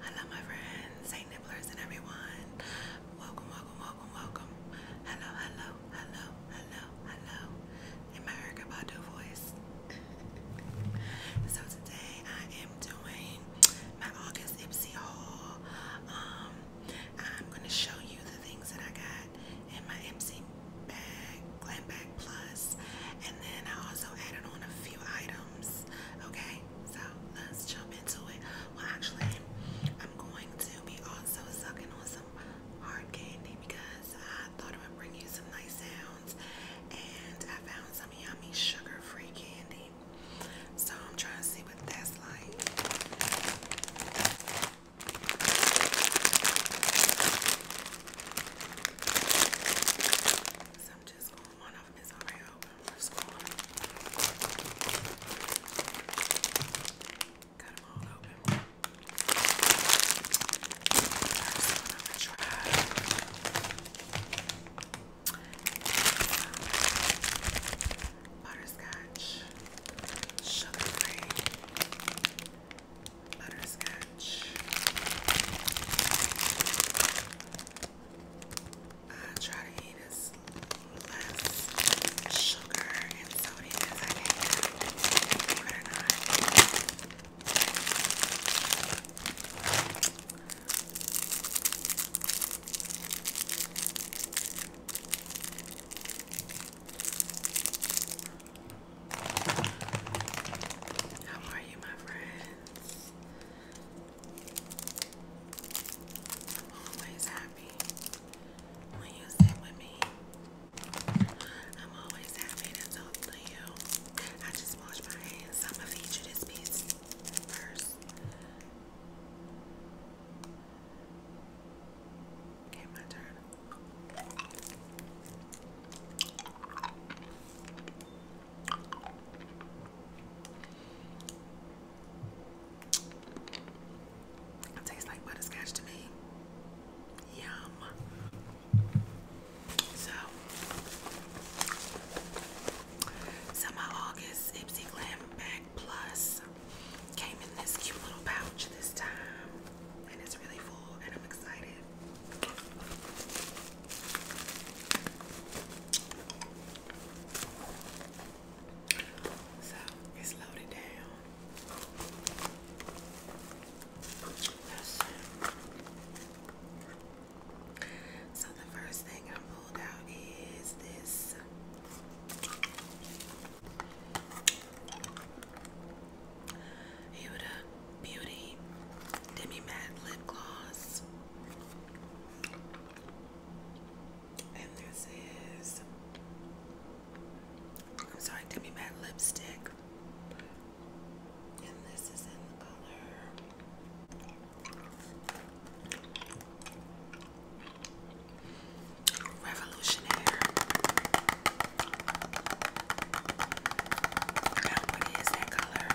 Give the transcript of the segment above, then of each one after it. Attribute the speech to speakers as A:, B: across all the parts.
A: Hello, my friends, St. Nibblers, and everyone. Welcome, welcome, welcome, welcome. Hello, hello, hello, hello, hello. In my Erica voice. so today I am doing my August Ipsy haul. Um, I'm gonna show you the things that I got in my Ipsy bag, Glam Bag Plus, and then I also added on a few items Okay, so let's jump into it. Well, actually, I'm going to be also sucking on some hard candy because I thought I would bring you some nice sounds, and I found some yummy sugar-free candy. So I'm trying to see what that's like. So I'm just one of them is already open for school. Got them all open. First one sugar free, butterscotch edge. I uh, try to eat as less sugar and sodium as I can, How are you, my friend? I'm always happy when you sit with me. I'm always happy to talk to you. I just wash my hands. I'm gonna feed you this piece first. Okay, my turn. It tastes like butterscotch to me. Yum. So, my August Ipsy Glam Bag Plus came in this cute little pouch this time, and it's really full, and I'm excited. So it's loaded down. So the first thing I pulled out is this. Huda Beauty Demi Matte Lip Gloss. And this is, I'm sorry, Demi Matte Lipstick. And this is in the color Revolutionaire what is that color.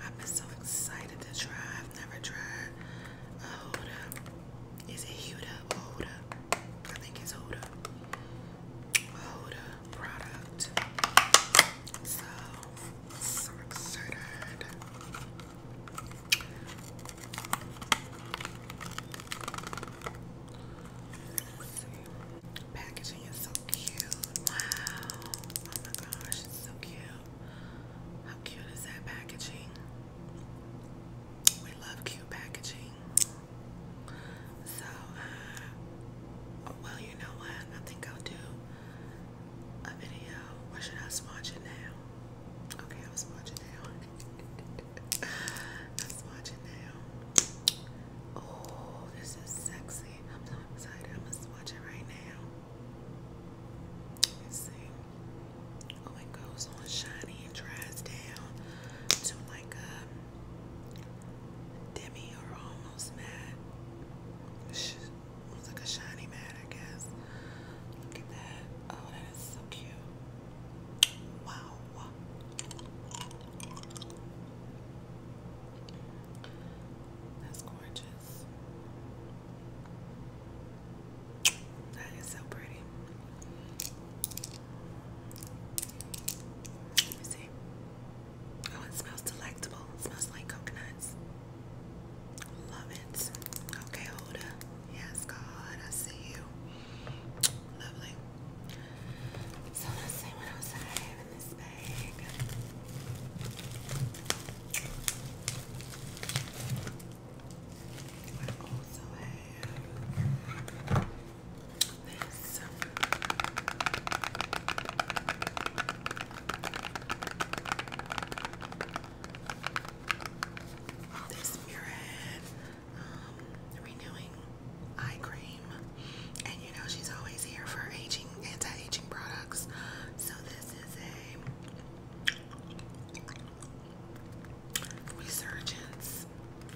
A: I've been so excited to try. I've never tried a Huda. Is it Huda? I think it's Huda. Huda product. So so excited. Packaging is so cute. Wow. Oh my gosh, it's so cute. How cute is that packaging? We love cute packaging. So, uh, oh, well, you know what? I think I'll do a video or should I swatch it now? Okay, I'll swatch it now. I'll swatch it now. Oh, this is sexy. I'm so excited. I'm going it right now. Oh, it goes on shiny and dries down to like a um, demi or almost matte. It was like a shiny mat, I guess. Look at that. Oh, that is so cute. Wow. That's gorgeous. That is so pretty. Let me see. Oh, it smells delectable. It smells like coconuts. Love it. Okay, Hoda. Yes, God, I see you. Lovely. So let's see what else I have in this bag. I also have this. This Murad um, renewing eye cream, and you know she's always here for aging, anti-aging products. So this is a resurgence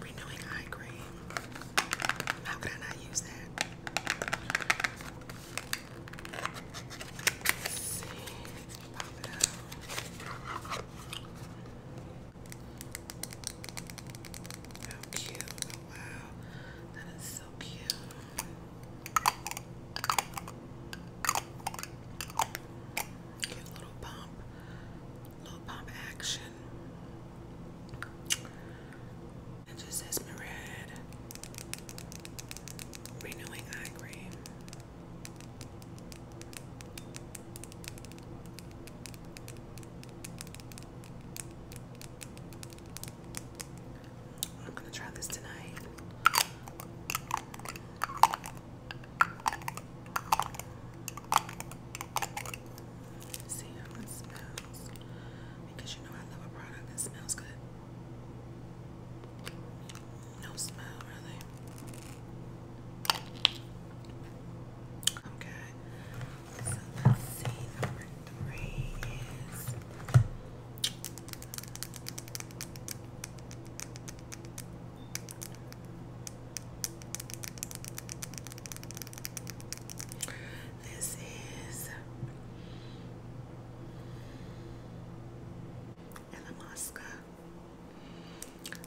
A: renewing eye cream. How could I not use that? Let's see. Pop it out. How cute. Oh, wow. That is so cute. Get a little pump. Little pump action. It just says Mered Renewing Eye Cream. I'm gonna try this tonight. see how it smells. Because you know I love a product that smells good. No smell, really. Okay. So let's three is this is Illamasqua.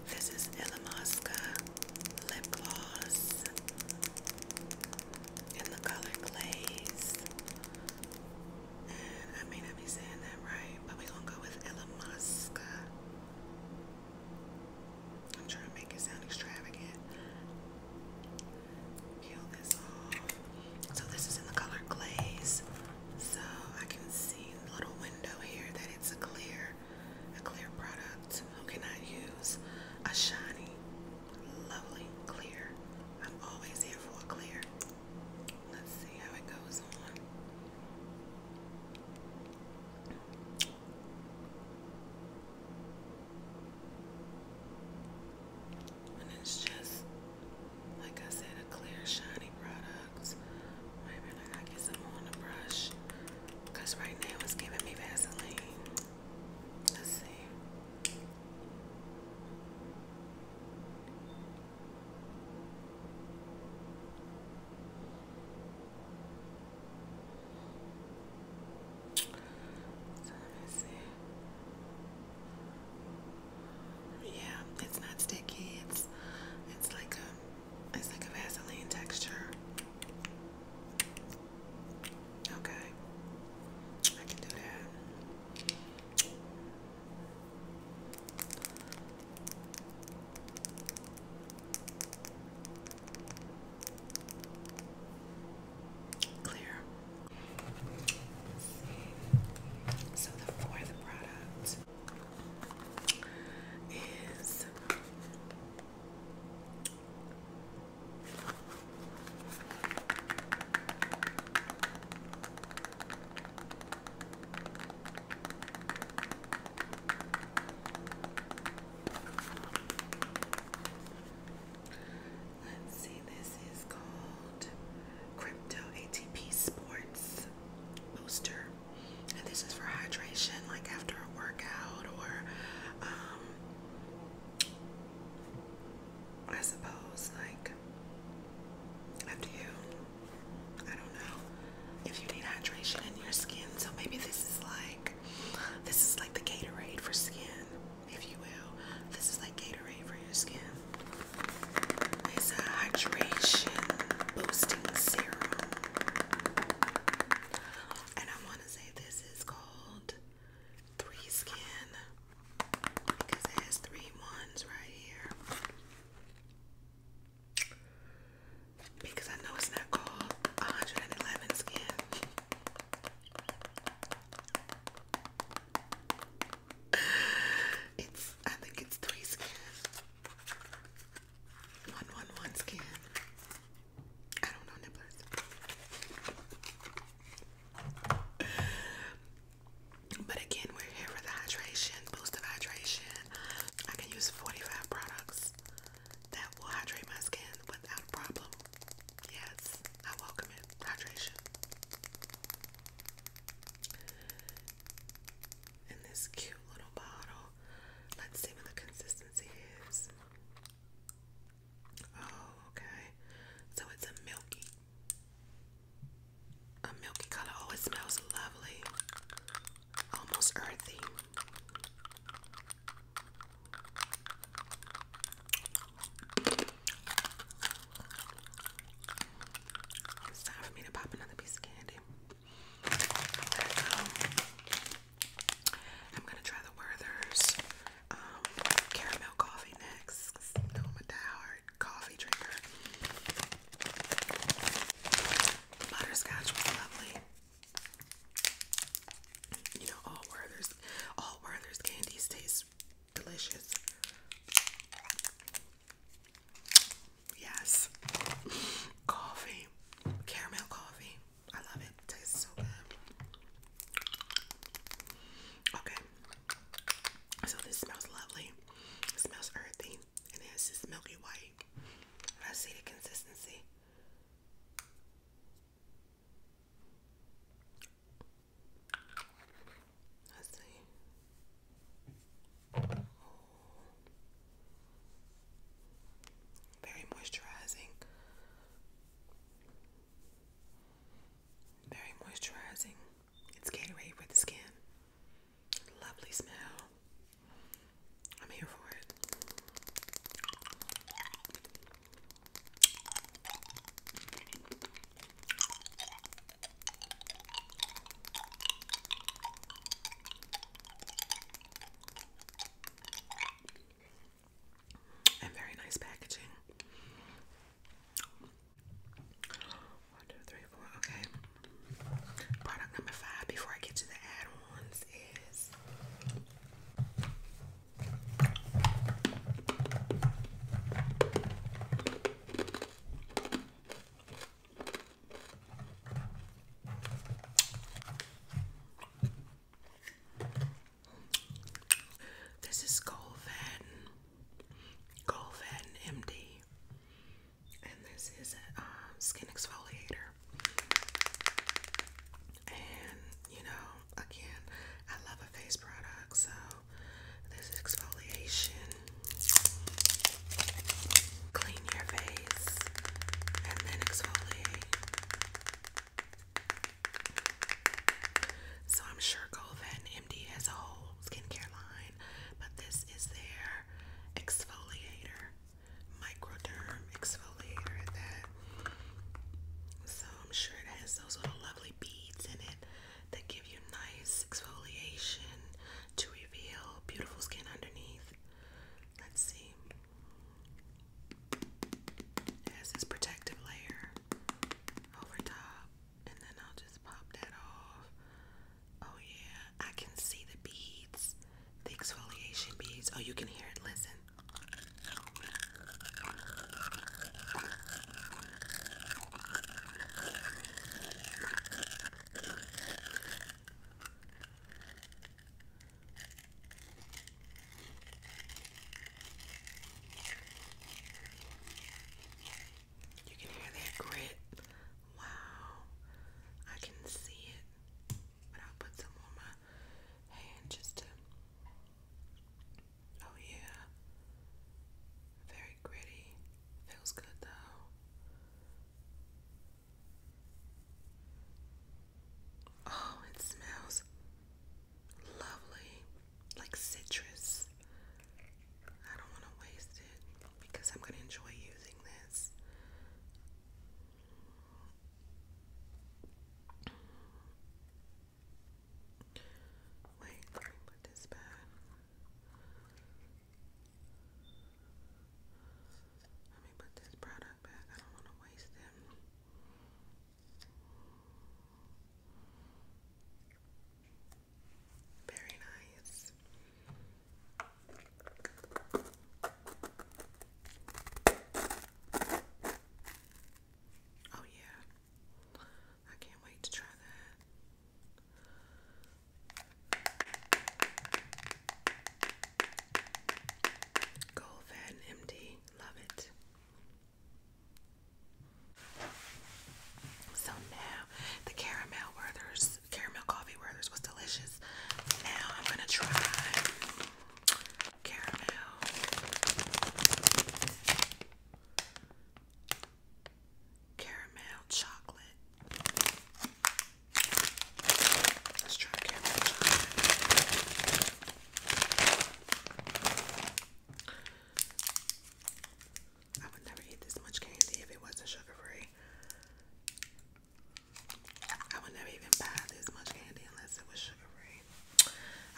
A: This is Illamasqua lip gloss in the color glaze. And I may not be saying that right, but we gonna go with Illamasqua. I'm trying to make it sound extravagant. So this is in the color glaze. So I can see the little window here that it's a clear, a clear product. Who cannot use a shiny, lovely clear? I'm always here for a clear. Let's see how it goes on. And it's just, like I said, a clear, shiny product. Wait I gotta get some more on the brush. right now it's giving me Vaseline. Let's see. let me see. Yeah, it's not sticky. It's it's like a it's like a Vaseline texture. Okay. I can do that clear. So the fourth product is Let's see, this is called Crypto ATP Sports Booster. And this is for hydration, like after a workout or um, I suppose like up you. I don't know. If you need hydration in your skin, so maybe this is like this is like the Gatorade for skin if you will. This is like Gatorade for your skin. It's a hydration boosting serum. And I want to say this is called Three Skin because it has three ones right here. Because I know it's not called 111 Skin. It's I think it's three scans. One one one scan. I don't know nibblers. But again, we're here for the hydration, boost of hydration. I can use 45 products that will hydrate my skin without a problem. Yes, I welcome it. Hydration. In this cute little bottle. Let's see what the consistency is. Oh, okay. So it's a milky. A milky color. Oh, it smells lovely. Almost earthy. It's time for me to pop another piece of candy. Um, I'm gonna try the Werther's um, caramel coffee next. No, I'm a diehard coffee drinker. Butterscotch was lovely. You know, all Werther's, all Werther's candies taste delicious. Yes, coffee, caramel coffee. I love it. Tastes so good. Okay, so this smells lovely. It smells earthy, and it has this milky white. I see the consistency. Let's see. Very moisturizing. Very moisturizing. It's Gatorade for the skin. Lovely smell. I'm here for it. And very nice packaging. One, two, three, four. Okay. Product number five before I get to the add ons is this is Golvan, Golvan MD, and this is a um, skin exfoliator. And you know, again, I love a face product, so this exfoliation clean your face and then exfoliate. So I'm sure Golden MD has a whole skincare line, but this is their exfoliator, microderm exfoliator. That so I'm sure it has those little lovely beads in it that give you nice exfoliation to reveal beautiful skin underneath. Let's see. has this protective layer over top, and then I'll just pop that off. Oh, yeah, I can see the beads, the exfoliation beads. Oh, you can hear it. Listen, you can hear that grit. Wow. I can see it. But I'll put some on my hand just to Oh yeah. Very gritty. Feels good though. Oh, it smells lovely. Like citrus. I don't want to waste it because I'm going to enjoy using this. Wait, let me put this back. Let me put this product back. I don't want to waste it. Very nice. Oh, yeah. I can't wait to try that. Gold and MD, love it. So now the caramel Werther's caramel coffee Werther's was delicious. Now I'm gonna try caramel. Caramel chocolate. Let's try caramel chocolate. I would never eat this much candy if it wasn't sugar free. I would never even buy this much candy unless it was sugar free.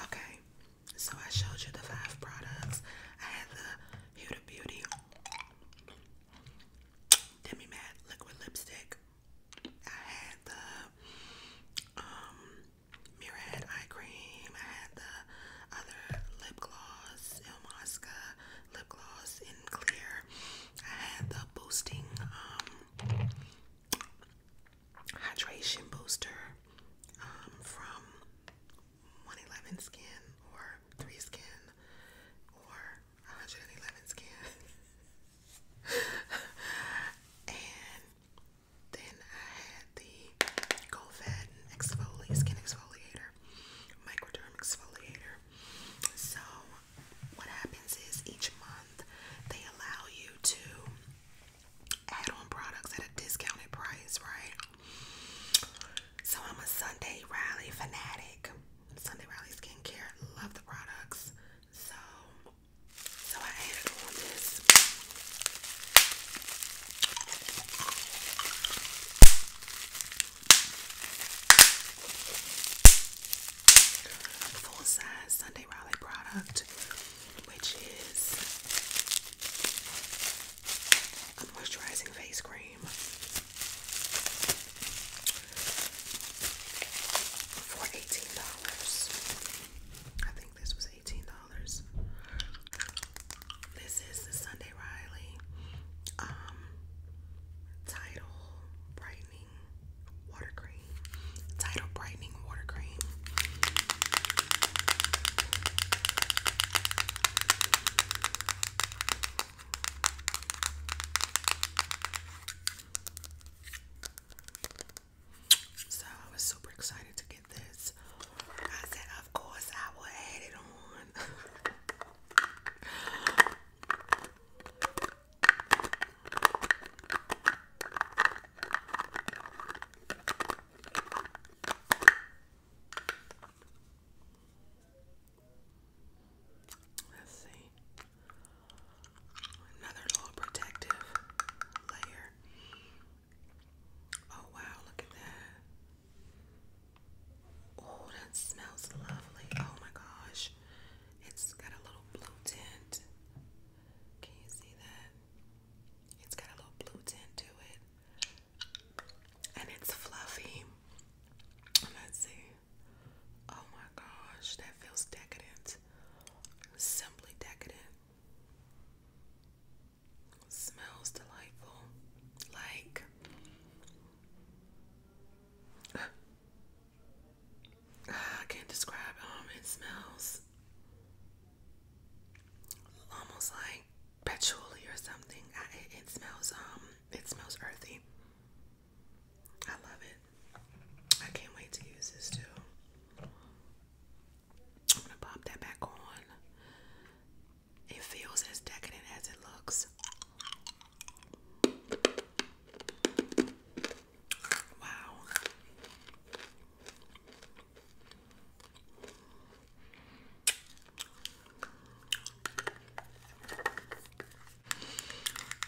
A: Okay, so I showed you the five products. I had the Huda Beauty Demi Matte Liquid Lipstick. I had the um, Eye Cream. I had the other lip gloss, Il lip gloss in clear. I had the boosting um, hydration booster um, from 111 Skin or 3 Skin or 111 Skin. and then I had the Golfadin exfoli skin exfoliator, microderm exfoliator. So what happens is each month they allow you to add-on products at a discounted price, right? So I'm a Sunday Riley fanatic. Sunday Riley skincare, love the products. So so I added on this. Full size Sunday Riley product which is a moisturizing face cream for $18. I think this was $18. This is the Sunday Riley um, Tidal Brightening Water Cream. Title Brightening Water Cream. So I was super excited to get this. I said, of course, I will add it on. Let's see. Another little protective layer. Oh wow, look at that. Oh, that smells lovely. Oh my gosh. It's got a little blue tint. Can you see that? It's got a little blue tint to it. And it's fluffy. Let's see. Oh my gosh, that feels decadent. Simply decadent. Smells delightful. Like ah, I can't describe um it smells almost like patchouli or something. it, it smells um it smells earthy. I love it. I can't wait to use this too. I'm gonna pop that back on. It feels as decadent as it looks.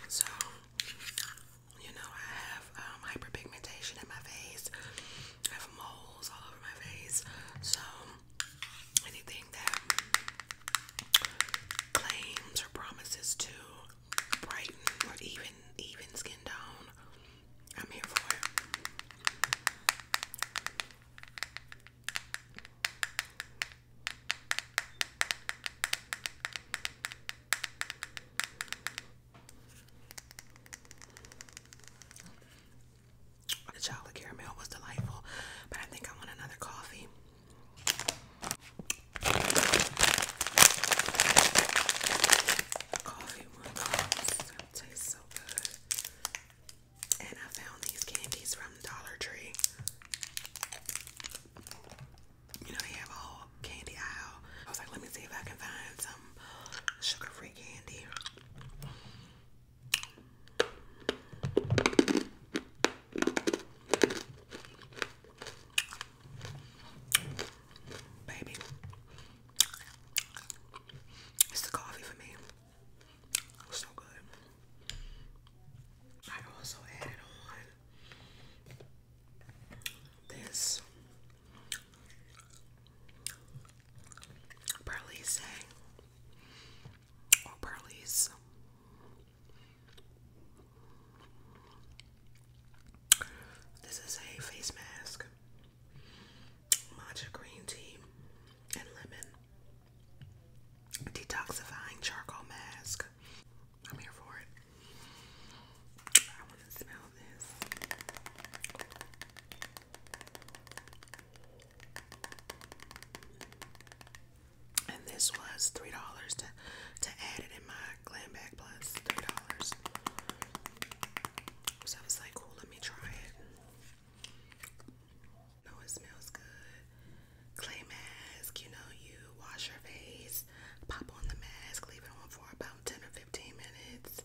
A: So, you know, I have um, hyperpigmentation in my face. I have moles all over my face. So, anything that claims or promises to brighten or even even skin tone. I'm here for it. The chocolate caramel was delightful, but I think I want another coffee. And I found these candies from Dollar Tree. You know, they have a candy aisle. I was like, let me see if I can find some sugar free candy. Baby. It's the coffee for me. so good. I also added on this Perlise or oh, Perlise. This is a face mask, matcha green tea, and lemon. Detoxifying charcoal mask. I'm here for it. I want to smell this. And this was $3 to, to add it in my Glam Bag $3. So I was like, cool, let me try it. No, it smells good. Clay mask, you know, you wash your face, pop on the mask, leave it on for about 10 or 15 minutes.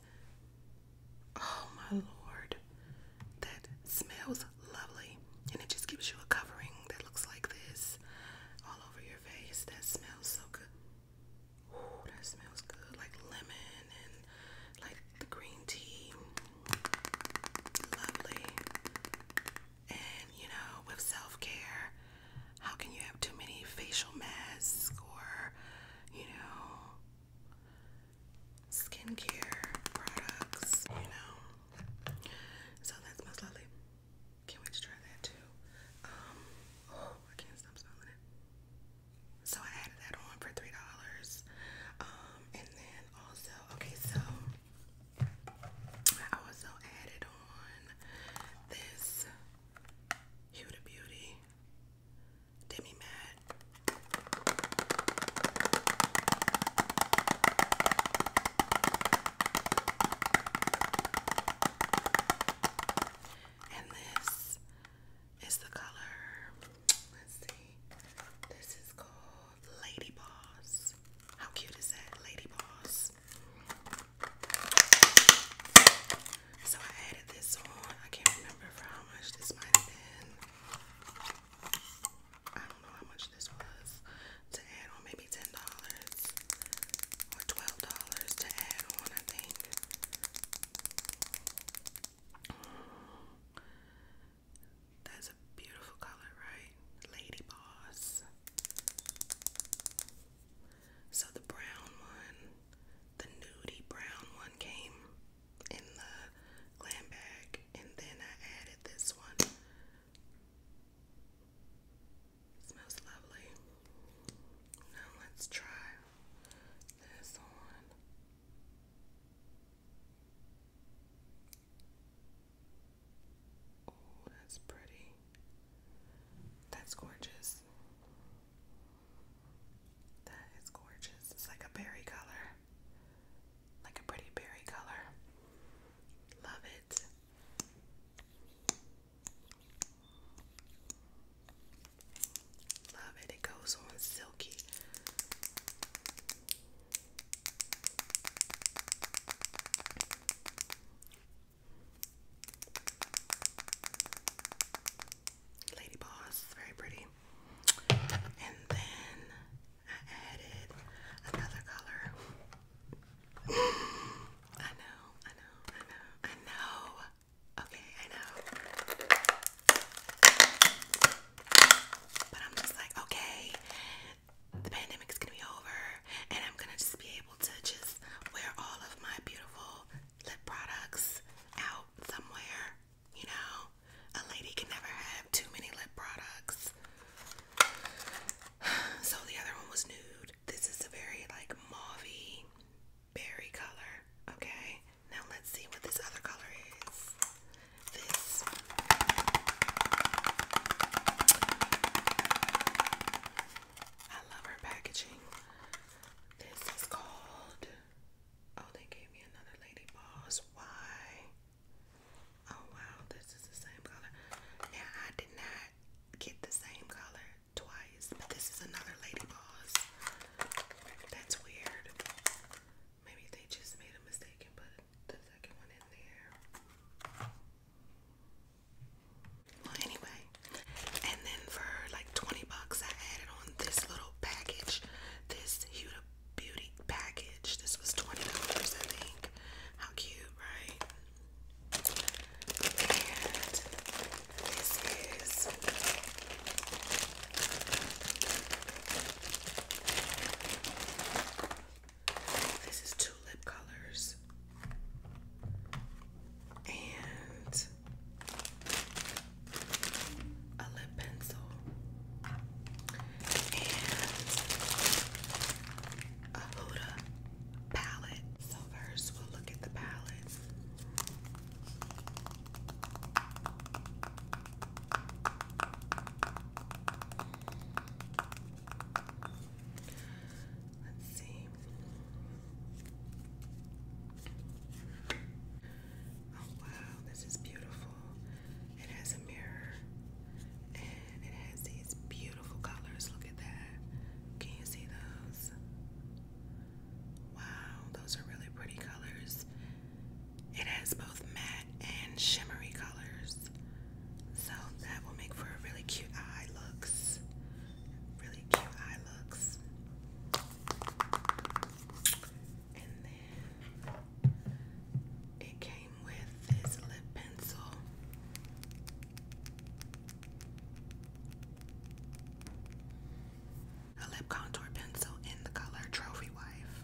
A: Oh my lord, that smells lovely. And it just gives you a covering that looks like this all over your face. That smells so good. Ooh, that smells good, like lemon and like the green tea. Lovely. And you know, with self care, how can you have too many facial masks or, you know, skincare products, you know? So that smells lovely. Can't wait to try that too. Um, oh, I can't stop smelling it. So I added that on for three dollars. Um, and then also, okay, so I also added on this Huda Beauty Demi Matte. And this is the color. Let's see. This is called Lady Boss. How cute is that? Lady Boss. So I added this on. I can't remember for how much this might have been. I don't know how much this was to add on, maybe $10 or $12 to add on, I think. That's a beautiful color, right? Lady Boss. So the brown one, the nudie brown one came in the glam bag, and then I added this one smells lovely. Now let's try this on. Oh, that's pretty. That's gorgeous. That is gorgeous. It's like a berry color. Like a pretty berry color. Love it. Love it, it goes on silky. Lady Boss, very pretty. And then I added another color. I know, I know, I know, I know. Okay, I know. But I'm just like, okay, the pandemic is gonna be over, and I'm gonna just be able to just wear all of my beautiful lip products out somewhere. You know, a lady can never have too many lip products. So the other one was nude. This is a very like mauvey berry color. Okay, now let's see what this other color is. This I love her packaging. This is called Oh, they gave me another Lady Boss. Why? Oh wow, this is the same color. Now I did not get the same color twice. But this is another Lady Boss. That's weird. Maybe they just made a mistake and the second one in there. Well, anyway. And then for like 20 bucks, I added on this little package, this Huda Beauty package. This was $20, I think. How cute, right? And this is this is two lip colors. And a lip pencil and a Huda palette. So first we'll look at the palette. Let's see. Oh wow, this is beautiful. It has a mirror and it has these beautiful beautiful colors. Look at that. Can you see those? Wow, those are really pretty colors. It has both matte and shimmery colors. So that will make for a really cute eye looks. Really cute eye looks. And then it came with this lip pencil. A lip contour pencil in the color Trophy Wife.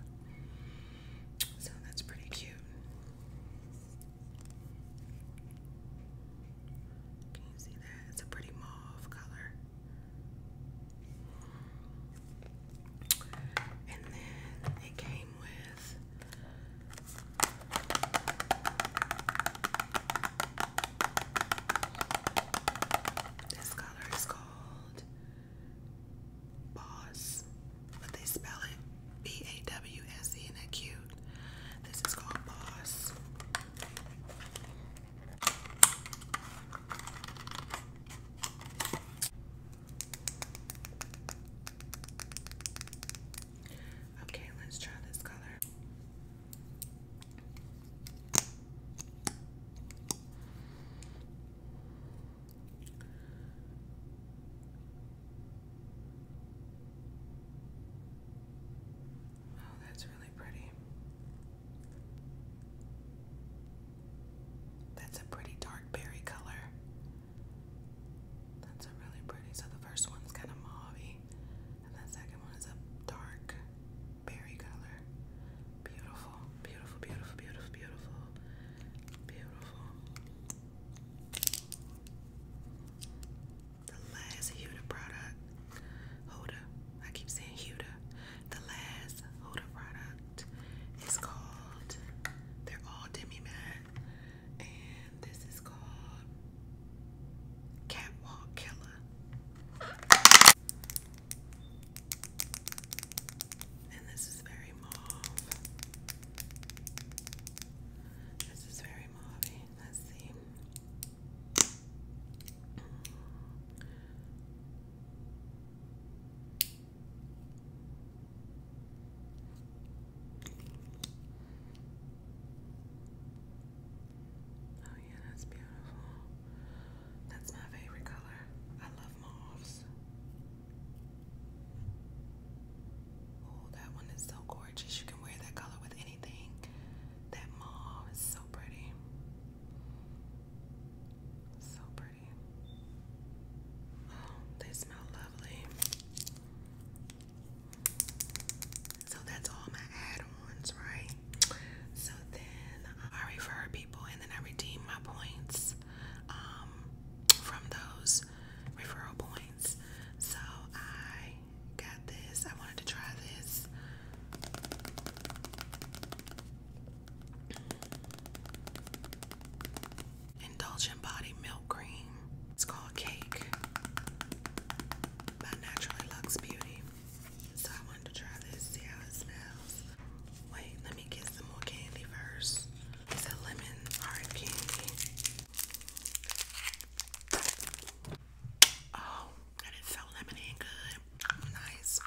A: So that's pretty cute. Can you see that? It's a pretty mauve color. And then it came with this color is called Boss, but they spell it B A W S E, and that cute. This is called Boss. Okay, let's try this color. Oh, that's really pretty. That's a pretty dark berry color. That's a really pretty. So the first one's kind of mauvey. And that second one is a dark berry color. Beautiful, beautiful, beautiful, beautiful, beautiful, beautiful. The last Huda product, Huda, I keep saying Huda. The last Huda product is called, they're all demi matte and this is called Catwalk Killer. And this is very mauve. This is very mauve. Let's see. Oh yeah, that's beautiful. That's my favorite color. I love mauves. Oh, that one is so gorgeous. You can wear that color with anything. That mauve is so pretty. So pretty. Oh, they smell lovely. So that's all my add-ons, right? So then I refer people and then I redeem my points um, from those referral points. So I got this. I wanted to try this. Indulgent Body Milk Cream. It's called Cake by Naturally Luxe Beauty. So I wanted to try this, see how it smells. Wait, let me get some more candy first. It's a lemon hard candy. Oh, that is so lemony and good. Nice.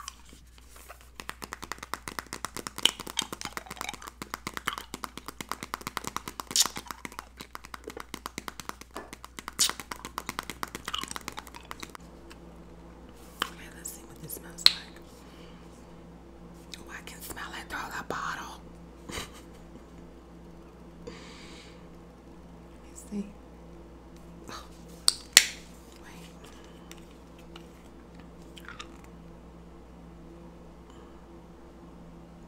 A: Okay, let's see what this smells like. Oh, I can smell it through the bottle. Let me see. Wait.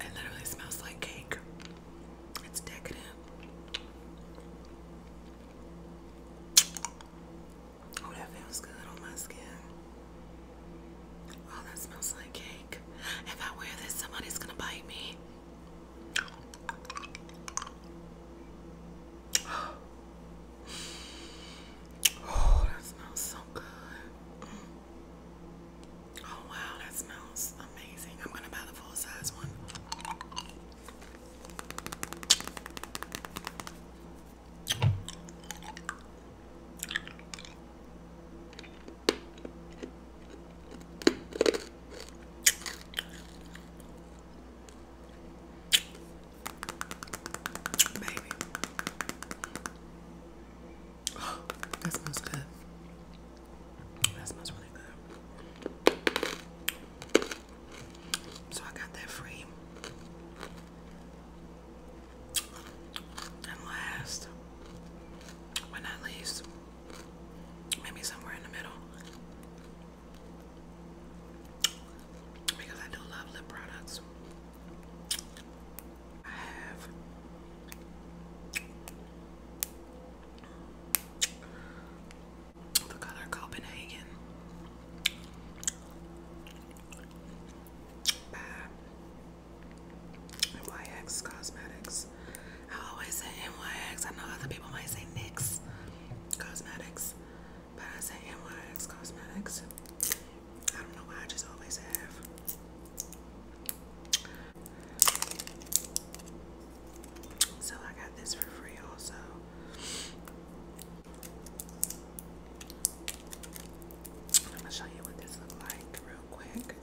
A: It literally smells like cake. It's decadent. Oh, that feels good on my skin. Oh, that smells like cake. If I wear this, somebody's gonna bite me. Oh, that smells so good. Oh wow, that smells amazing. I'm gonna buy the full size one. Baby, Oh, that smells good. That smells really good. So I got that free. And last, but not least, maybe somewhere in the middle. Because I do love lip products. I have the color Copenhagen by uh, Cosmetics. I always say NYX. I know other people might say NYX Cosmetics, but I say NYX Cosmetics. I So I got this for free also. I'm gonna show you what this looks like real quick.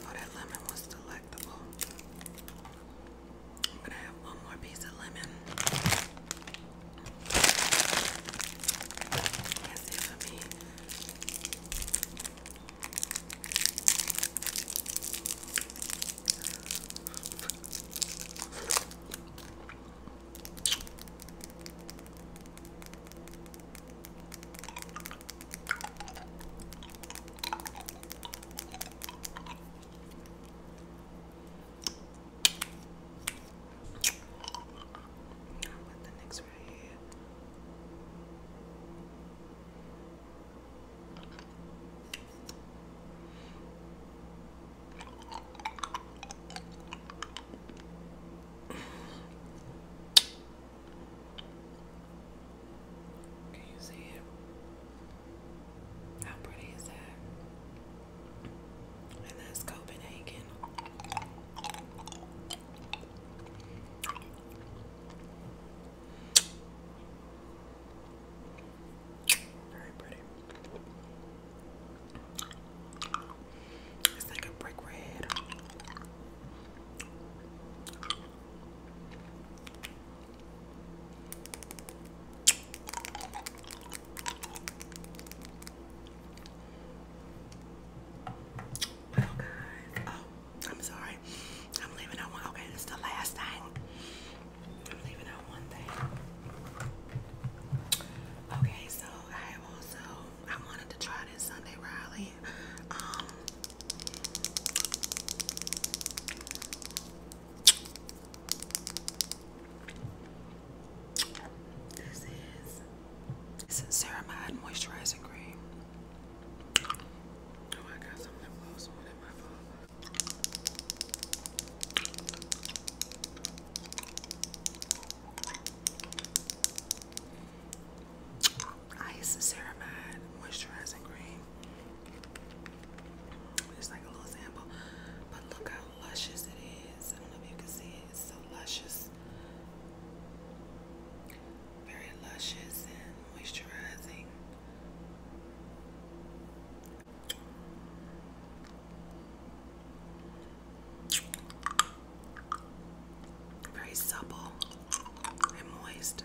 A: Oh, that lemon was delicious delectable. i have one more piece of lemon. That's it for me. Now what the next right here. Can you see it? How pretty is that? And that's Copenhagen. Very pretty. It's like a brick red. Oh, Oh, I'm sorry. I'm leaving on one. Okay, this is the last thing. I'm leaving on one thing. Okay, so I have also I wanted to try this Sunday Riley. Um, this is it's a ceramide moisturizing cream. Oh, I got some lip gloss my phone. Ice Ceramide Moisturizing Cream. It's like a little sample, but look how luscious it is. I don't know if you can see it. It's so luscious. Very luscious and moisturizing. Very supple and moist.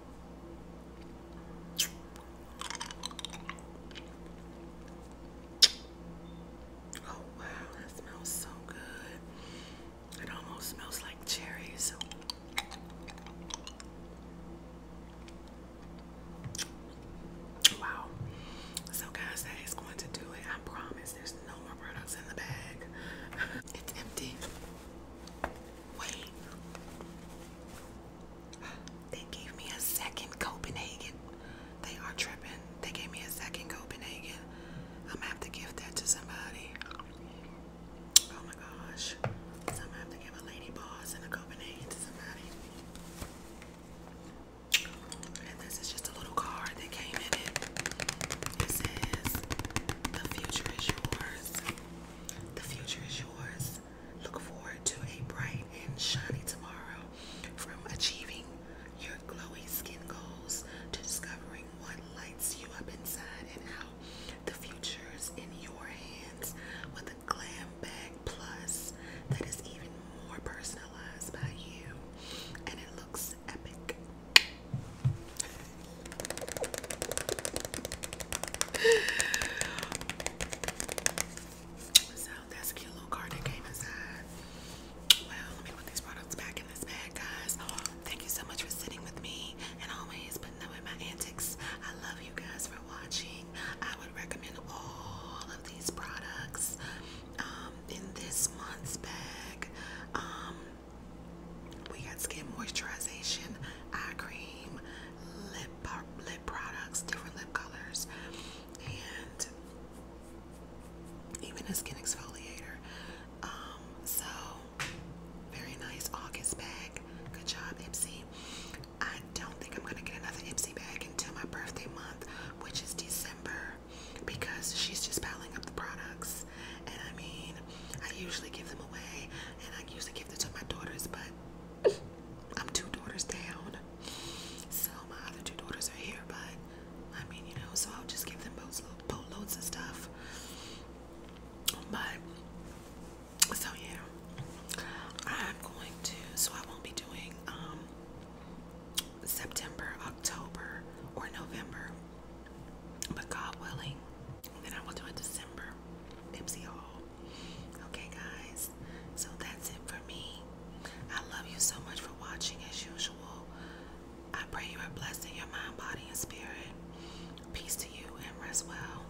A: Oh wow, that smells so good. It almost smells like cherries. Wow. So guys, that is going to do it. I promise there's no more products in the bag. it's empty. Wait. They gave me a second Copenhagen. They are tripping. They gave me a second Copenhagen. I'm gonna have to give that to somebody. Oh my gosh. I'm have to give a lady boss and a Copenhagen to somebody. And this is just a little card that came in It says, The future is yours. The future is yours. Look forward to a bright and shiny tomorrow. From achieving your glowy skin goals to discovering what lights you up inside and out. The future is in your hands with a glam bag plus that is even more personalized by you. And it looks epic. So that's a cute little card that came inside. Well, let me put these products back in this bag, guys. thank you so much for sitting with me and always putting up with my antics. I love you guys for watching. I would recommend all of these products um, in this month's bag. Um, we got skin moisturization, eye cream, lip lip products, different lip colors, and even a skin exfoliator. Um, so very nice August bag. Good job, Ipsy. I don't think I'm gonna get another Ipsy bag until my birthday month, which is December, because she's just piling up the products. And I mean, I usually give them away, and I usually give them to my daughters, but I'm two daughters down. So my other two daughters are here, but I mean, you know, so I'll just give them both boatloads of stuff. But so yeah, I'm going to. So I won't be doing um September, October, or November, but God willing, then I will do a December Ipsy haul. Okay, guys. So that's it for me. I love you so much for watching as usual. I pray you are blessed in your mind, body, and spirit. Peace to you and rest well.